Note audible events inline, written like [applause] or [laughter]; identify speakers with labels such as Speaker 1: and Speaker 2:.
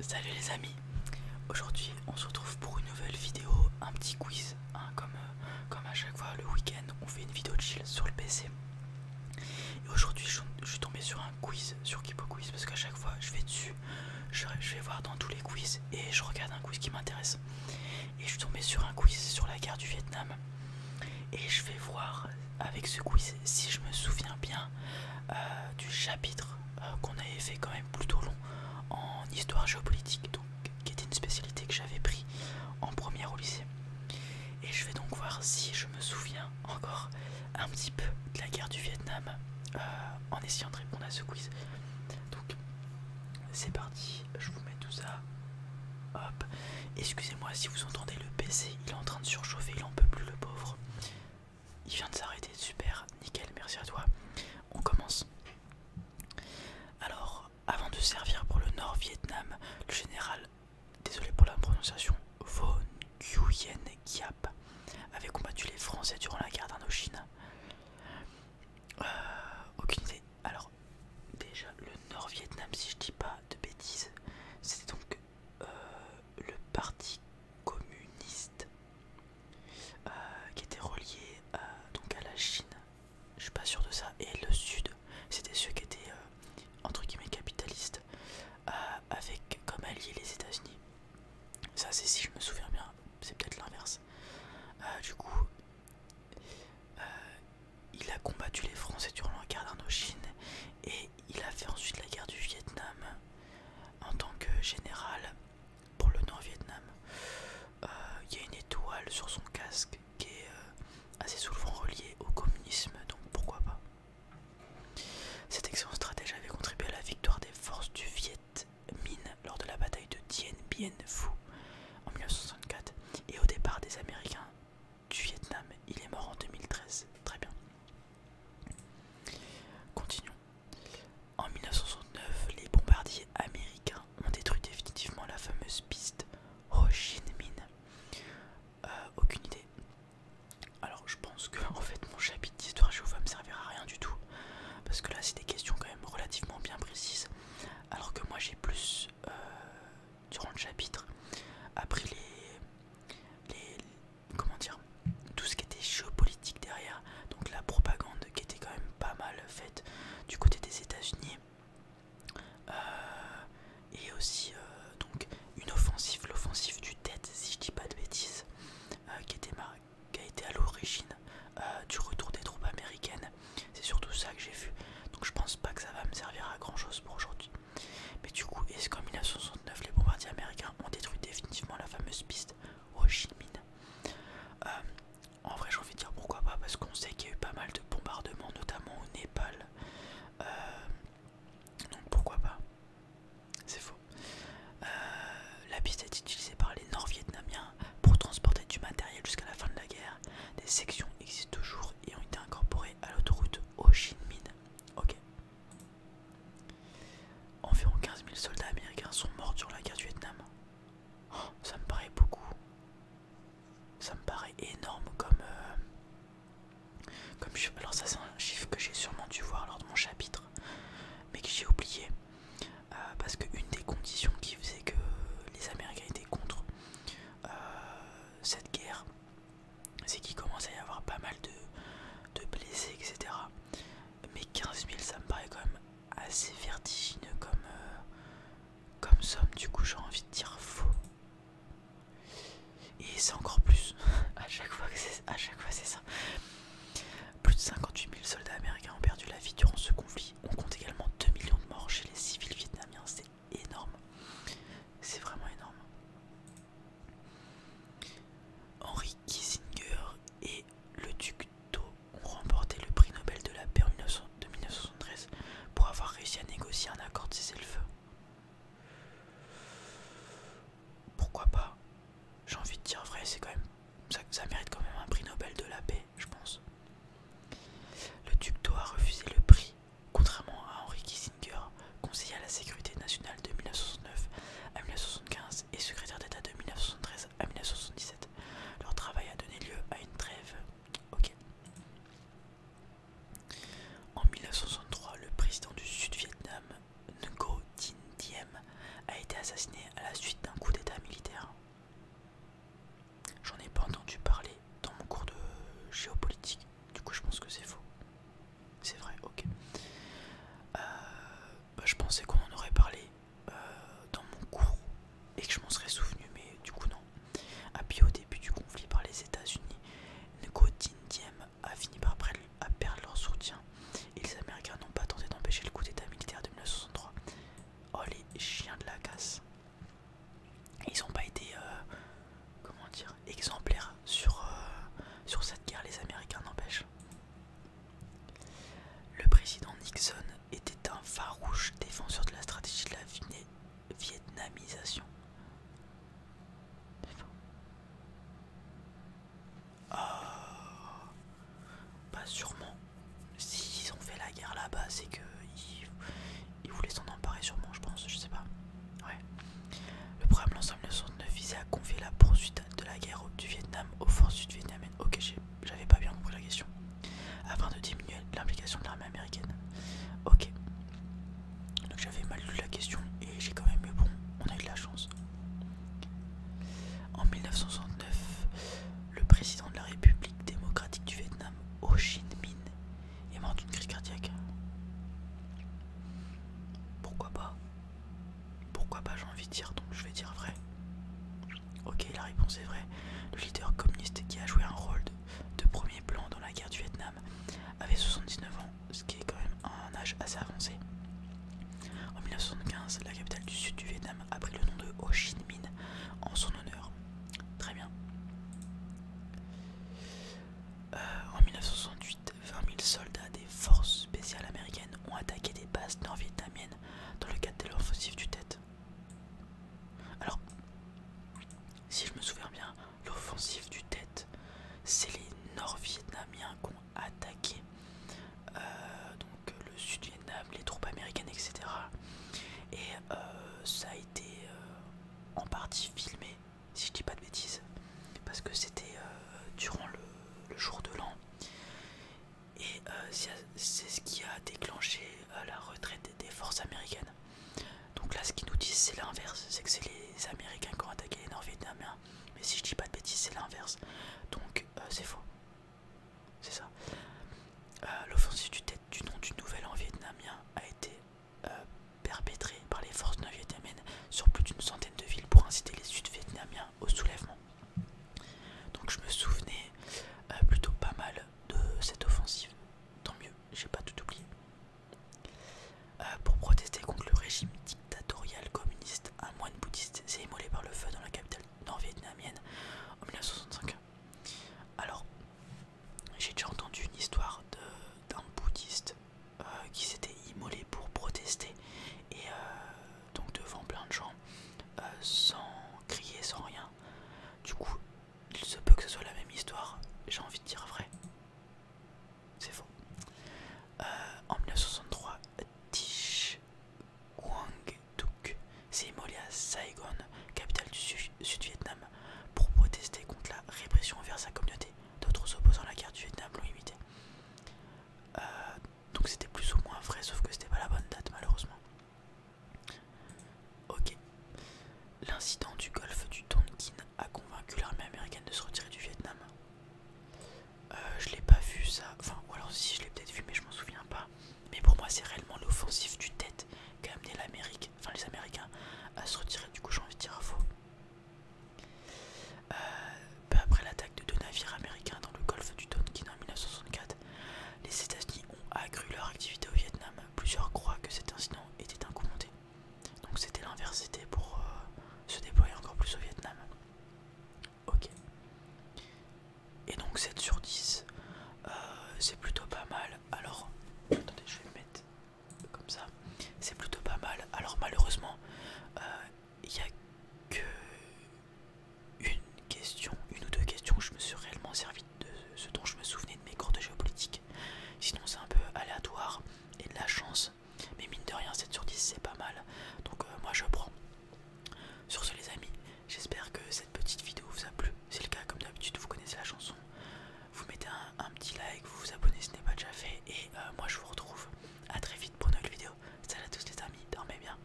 Speaker 1: Salut les amis, aujourd'hui on se retrouve pour une nouvelle vidéo, un petit quiz, hein, euh, comme, à chaque fois le week-end on fait une vidéo chill sur le PC. Et aujourd'hui je, suis tombé sur un quiz, sur Kipo Quiz, parce qu'à chaque fois je vais dessus, je, je vais voir dans tous les quiz et je regarde un quiz qui m'intéresse. Et je suis tombé sur un quiz sur la guerre du Vietnam. Et je vais voir avec ce quiz, si je me souviens bien euh, du chapitre euh, qu'on avait fait quand même plutôt long en histoire géopolitique, donc qui était une spécialité que j'avais pris en première au lycée. Et je vais donc voir si je me souviens encore un petit peu de la guerre du Vietnam euh, en essayant de répondre à ce quiz. Donc c'est parti, je vous mets tout ça. Hop, Excusez-moi si vous entendez le PC, il est en train de surchauffer, il en peut plus le pauvre. Il vient de s'arrêter, super, nickel, merci à toi. On commence. Alors, avant de servir pour le Nord-Vietnam, le général, désolé pour la prononciation, Von Nguyen Giap avait combattu les Français durant la guerre d'Indochine. Euh, aucune idée. Alors, déjà, le Nord-Vietnam, si je dis pas de bêtises, c'était donc euh, le parti communiste euh, qui était relié euh, donc à la Chine, je suis pas sûr de ça, et le Sud, c'était ceux qui étaient entre guillemets capitalistes avec comme allié les États-Unis. Ça, c'est si je me souviens bien, c'est peut-être l'inverse. du coup, il a combattu les Français durant la guerre d'Indochine et il a fait ensuite la guerre du Vietnam en tant que général pour le Nord-Vietnam. Euh, il y a une étoile sur son casque qui est euh, assez souvent reliée au communisme, donc pourquoi pas. Cet excellent stratège avait contribué à la victoire des forces du Viet Minh lors de la bataille de Dien Bien Phu en 1964 et au départ des Américains du Vietnam. Il est mort en 2013. Très bien. Continuons. En 1969, les bombardiers américains ont détruit définitivement la fameuse piste Ho Chi Minh. Euh, aucune idée. Alors je pense que en fait mon chapitre d'histoire je va me servir à rien du tout. Parce que là c'est des questions quand même relativement bien précises. Alors que moi j'ai plus... Euh, durant le chapitre après les, les comment dire tout ce qui était géopolitique derrière donc la propagande qui était quand même pas mal faite du côté des États-Unis euh, et aussi euh, donc une offensive l'offensive du tête, si je dis pas de bêtises euh, qui, était qui a été à l'origine euh, du retour des troupes américaines. C'est surtout ça que j'ai vu. Donc je pense pas que ça va me servir à grand chose pour aujourd'hui. Mais du coup, est-ce qu'en 1969 les bombardiers américains ont détruit définitivement la fameuse piste Ho Chi Minh euh, En vrai, j'ai envie de dire pourquoi pas, parce qu'on sait qu'il y a eu pas mal de bombardements, notamment au Népal. Euh, donc pourquoi pas C'est faux. la piste est utilisée par les Nord-Vietnamiens pour transporter du matériel jusqu'à la fin de la guerre. Des sections existent toujours et ont été incorporées à l'autoroute Ho Chi Minh. Ok. Environ 15 000 soldats américains sont morts durant la guerre du Vietnam. Oh, ça me paraît beaucoup. Ça me paraît énorme comme... Euh, comme alors ça c'est un chiffre que j'ai sûrement dû voir lors de mon chapitre, mais que j'ai oublié. Euh, parce qu'une des conditions qui faisait que les Américains étaient contre euh, cette guerre, c'est qu'il commençait à y avoir pas mal de, blessés, etc. Mais 15 000, ça me paraît quand même assez vertigineux comme, euh, comme somme, du coup j'ai envie de dire faux. Et c'est encore plus, [laughs] à chaque fois que c'est ça. Plus de 58 000 soldats américains ont perdu la vie durant ce conflit. On compte également 2 millions de morts chez les civils vietnamiens. C'est énorme. C'est vraiment énorme. Henry Kissinger et le duc d'O ont remporté le prix Nobel de la paix en de 1973 pour avoir réussi à négocier un accord de cessez-le-feu. Pourquoi pas J'ai envie de dire vrai, c'est quand même ça, mérite quand même un prix Nobel de la paix, je pense. Le duc a refusé le prix, contrairement à Henry Kissinger, conseiller à la sécurité nationale de 1969 à 1975 et secrétaire d'État de 1973 à 1977. Leur travail a donné lieu à une trêve. En 1963, le président du Sud-Vietnam, Ngo Dinh Diem a été assassiné à la suite d'un coup d'état militaire. J'en ai pas entendu parler dans mon cours de géopolitique, du coup je pense que c'est faux. C'est vrai, ok. Euh, bah, je pensais qu'on en aurait parlé euh, dans mon cours et que je m'en serais souvenu, mais du coup non. Appuyé au début du conflit par les États-Unis, Ngo Diem a fini par perdre leur soutien et les Américains n'ont pas tenté d'empêcher le coup d'état militaire de 1963. Oh les chiens de la casse. Ils n'ont pas été euh, comment dire, exemplaires sur, euh, sur cette guerre, les Américains n'empêchent. Le président Nixon était un farouche défenseur de la stratégie de la vietnamisation ah! Bah sûrement. S'ils ont fait la guerre là-bas, c'est que ils... voulaient s'en emparer sûrement, je pense, je sais pas. Ouais. Le programme L'ensemble ne visait à confier la poursuite de la guerre du Vietnam aux forces sud-vietnamiennes. Ok, j'avais pas bien compris la question. Afin de diminuer l'implication de l'armée américaine. Ok. Donc j'avais mal lu la question et j'ai quand même eu bon, on a eu de la chance. En 1969, le président de la République démocratique du Vietnam, Ho Chi Minh, est mort d'une crise cardiaque. Pourquoi pas Pourquoi pas j'ai envie de dire, donc je vais dire vrai. Ok, la réponse est vraie. Le leader communiste qui a joué un rôle de, de premier plan dans la guerre du Vietnam avait 79 ans ce qui est quand même un âge assez avancé. En 1975, la capitale du sud du Vietnam a pris le nom de Ho Chi Minh en son honneur. Très bien. Euh, en 1968, 20 000 soldats des forces spéciales américaines ont attaqué des bases nord-vietnamiennes dans le cadre de l'offensive du Tête. Alors, si je me souviens bien, l'offensive du tête. C'est les Nord-Vietnamiens qui ont attaqué euh, donc, le Sud-Vietnam, les troupes américaines, etc. Et euh, ça a été euh, en partie filmé, si je dis pas de bêtises, parce que c'était durant le, jour de l'an. Et c'est ce qui a déclenché la retraite des forces américaines. Donc là, ce qu'ils nous disent, c'est l'inverse c'est que c'est les Américains qui ont attaqué les Nord-Vietnamiens. Mais si je dis pas de bêtises, c'est l'inverse. Donc euh, c'est faux. C'est ça. Euh, l'offensive du, du nom du nouvel an vietnamien a été euh, perpétrée par les forces nord-vietnamiennes sur plus d'une centaine de villes pour inciter les sud-vietnamiens au soulèvement. Donc je me souvenais plutôt pas mal de cette offensive. Tant mieux, j'ai pas tout oublié. Euh, pour protester contre le régime dictatorial communiste, un moine bouddhiste s'est immolé par le feu dans la capitale nord-vietnamienne en 1965. Alors, j'ai déjà entendu une histoire d'un bouddhiste euh, qui s'était immolé pour protester et euh, donc devant plein de gens, sans crier, sans rien. Du coup, il se peut que ce soit la même histoire, j'ai envie de dire vrai. C'est faux. Euh, en 1963, Tich Quang Duc s'est immolé à Saigon, capitale du Sud-Vietnam, pour protester contre la répression envers sa communauté. D'autres s'opposant à la guerre du Vietnam l'ont imité. Euh, donc c'était plus ou moins vrai, sauf que c'était pas la bonne date malheureusement. Ok. L'incident du golfe du Tonkin a convaincu l'armée américaine de se retirer du Vietnam. Je euh, je l'ai pas vu ça. Enfin, ou alors si je l'ai peut-être vu, mais je m'en souviens pas. Mais pour moi, c'est réellement l'offensive du TET qui a amené l'Amérique, enfin les Américains, à se retirer. Du coup, j'ai envie de dire à faux. Euh, peu après l'attaque de deux navires américains dans le golfe du Tonkin en 1964, les États-Unis ont accru leur activité au Vietnam. Plusieurs croient que cet incident était un Donc c'était l'inversité pour euh, se déployer encore plus au Vietnam. Ok. Et donc 7 sur 10, euh, c'est plutôt pas mal. Alors, attendez, je vais me mettre comme ça. C'est plutôt pas mal. Alors malheureusement, euh, il n'y a que une question, une ou deux questions, je me suis réellement servi de ce dont je me souvenais de mes cours de géopolitique. Sinon c'est un peu aléatoire et de la chance. Mais mine de rien 7 sur 10 c'est pas mal. Donc euh, moi je prends. Sur ce les amis, j'espère que cette petite vidéo vous a plu. Si C'est le cas comme d'habitude, vous connaissez la chanson. Vous mettez un, petit like, vous vous abonnez si ce n'est pas déjà fait. Et euh, moi je vous retrouve à très vite pour une autre vidéo. Salut à tous les amis, dormez bien.